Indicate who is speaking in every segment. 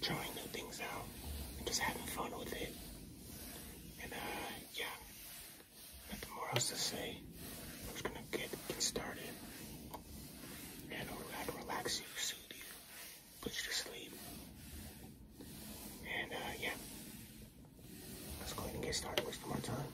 Speaker 1: trying new things out and just having fun with it. And uh, yeah, nothing more else to say. I'm just gonna get, get started. And I'll relax you, soothe you, put you to sleep. And uh, yeah, let's go ahead and get started, waste more time.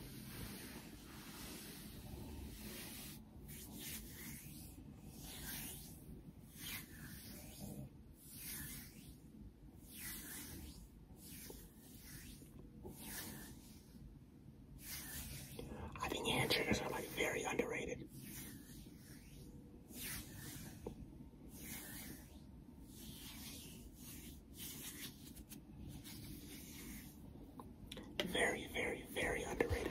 Speaker 1: I think hand triggers are like very underrated. Very, very, very underrated.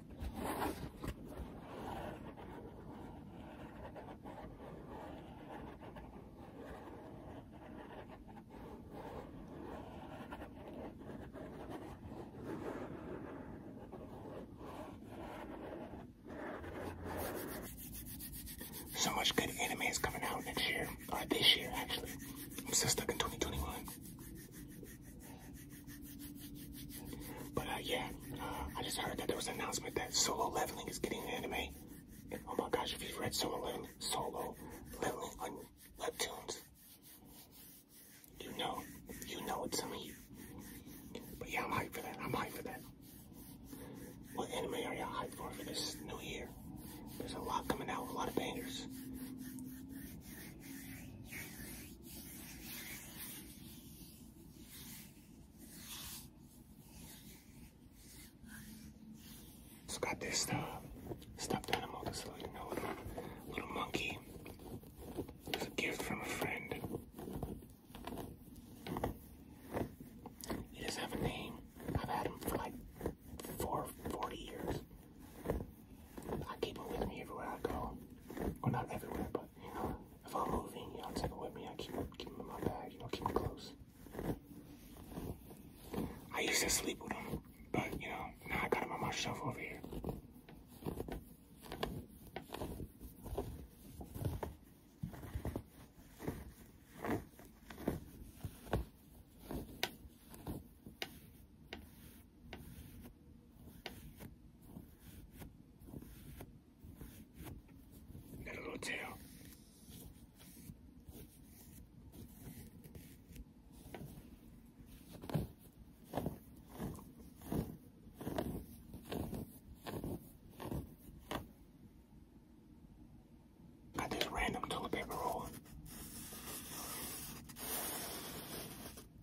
Speaker 1: So much good anime is coming out next year, this year actually. I'm so stuck in 2021. But uh, yeah, uh, I just heard that there was an announcement that Solo Leveling is getting an anime. oh my gosh, if you've read Solo Leveling, Solo Leveling on Webtoons, you know, you know it's a me. But yeah, I'm hyped for that. I'm hyped for that. What anime are y'all hyped for for this new year? There's a lot coming out, a lot of bangers. It's got this stuff. Uh, stuffed animal, this little, you know, little, monkey. It's a gift from a friend. He doesn't have a name. I've had him for like four, 40 years. I keep him with me everywhere I go. Well, not everywhere, but you know, if I'm moving, you all take it with me. I keep keep them in my bag. You know, keep them close. I used to sleep with them, but you know, now I got them on my shelf over here. Got a little tail. Got this random toilet paper roll.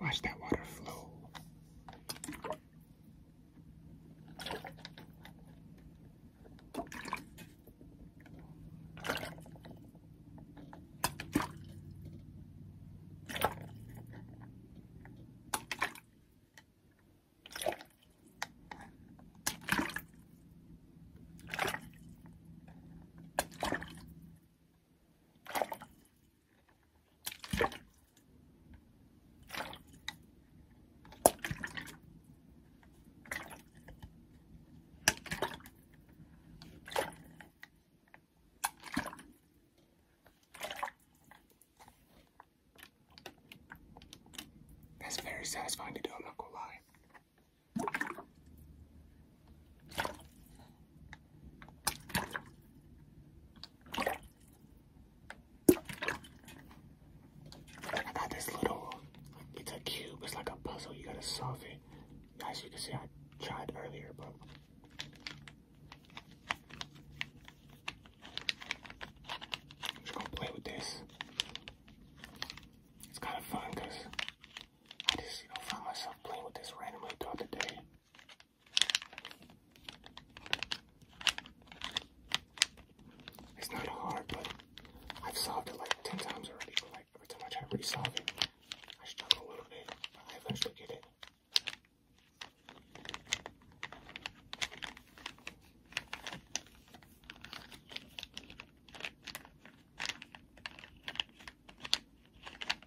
Speaker 1: Watch that water flow. That's very satisfying to do, I'm not gonna lie. I got this little, it's a cube, it's like a puzzle, you gotta solve it. As you can see, I tried earlier, but. I'm just gonna play with this. It's kind of fun because I just, you myself playing with this randomly throughout the day. It's not hard, but I've solved it like 10 times already, but like every time I try to resolve it, I struggle a little bit, but I eventually get it.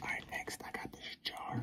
Speaker 1: All right, next I got this jar.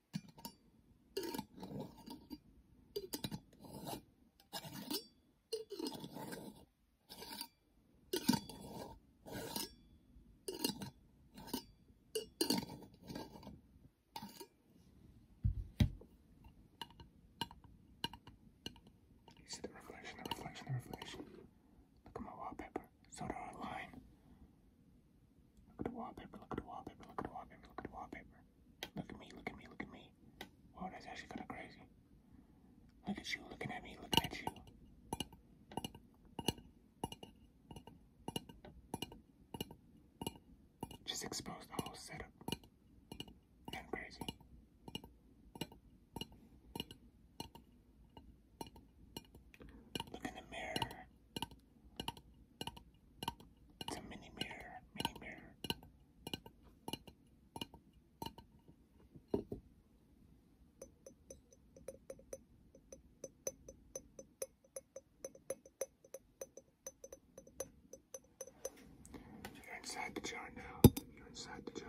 Speaker 1: You see the reflection, the reflection, the reflection. Look at my wallpaper. So do our line. Look at the wallpaper, look at the wallpaper, look at the wallpaper, look at the wallpaper. Look at me, look at me, look at me. Wow, that's actually kind of crazy. Look at you, looking at me, looking at you. Just expose the whole setup. Nothing crazy. Look in the mirror. It's a mini mirror, mini mirror. You're inside the jar now. You're inside the jar.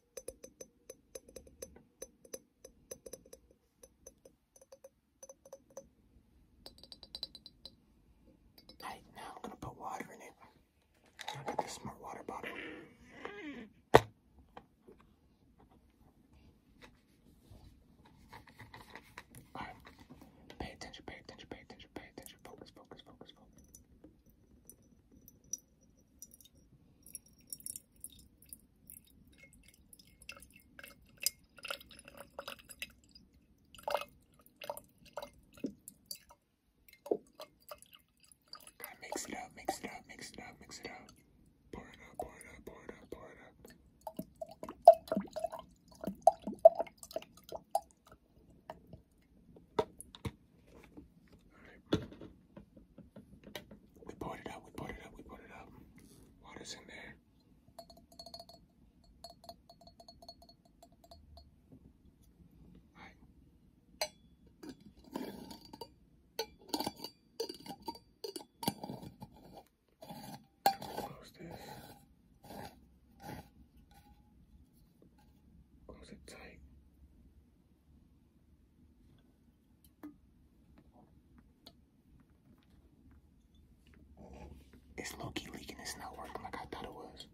Speaker 1: Alright, now I'm gonna put water in it. I got this smart water bottle. Alright, pay attention, pay attention, pay attention, pay attention. Focus, focus, focus, focus. Gotta mix it up, mix it up, mix it up, mix it up. Pour it up, pour it up, pour it up, pour it up. We poured it up. we poured it up. we poured it up. Water's in there. All right. Close this. Close it tight. It's Loki leaking. It's not working like I thought it was.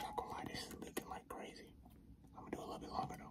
Speaker 1: Not gonna lie, this is leaking like crazy. I'm gonna do a little bit longer though.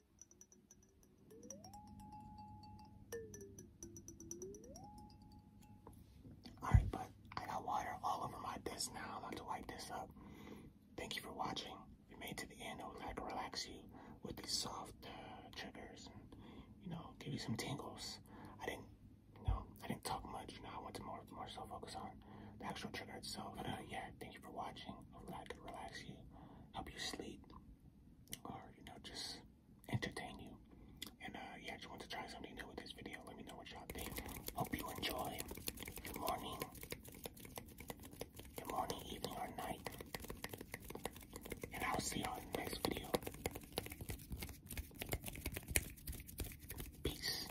Speaker 1: Alright, but I got water all over my desk now. i to wipe this up. Thank you for watching. If you made to the end, I would like relax you with these soft uh, triggers and, you know, give you some tingles. I didn't, you know, I didn't talk much. You know, I went more, more so focus on the actual trigger itself. Uh, yeah, thank you for watching. I would relax you, help you sleep or you know just entertain you. And uh, yeah, I just want to try something new with this video. Let me know what y'all think. Hope you enjoy. Good morning. Good morning, evening, or night. And I'll see y'all in the next video. Peace.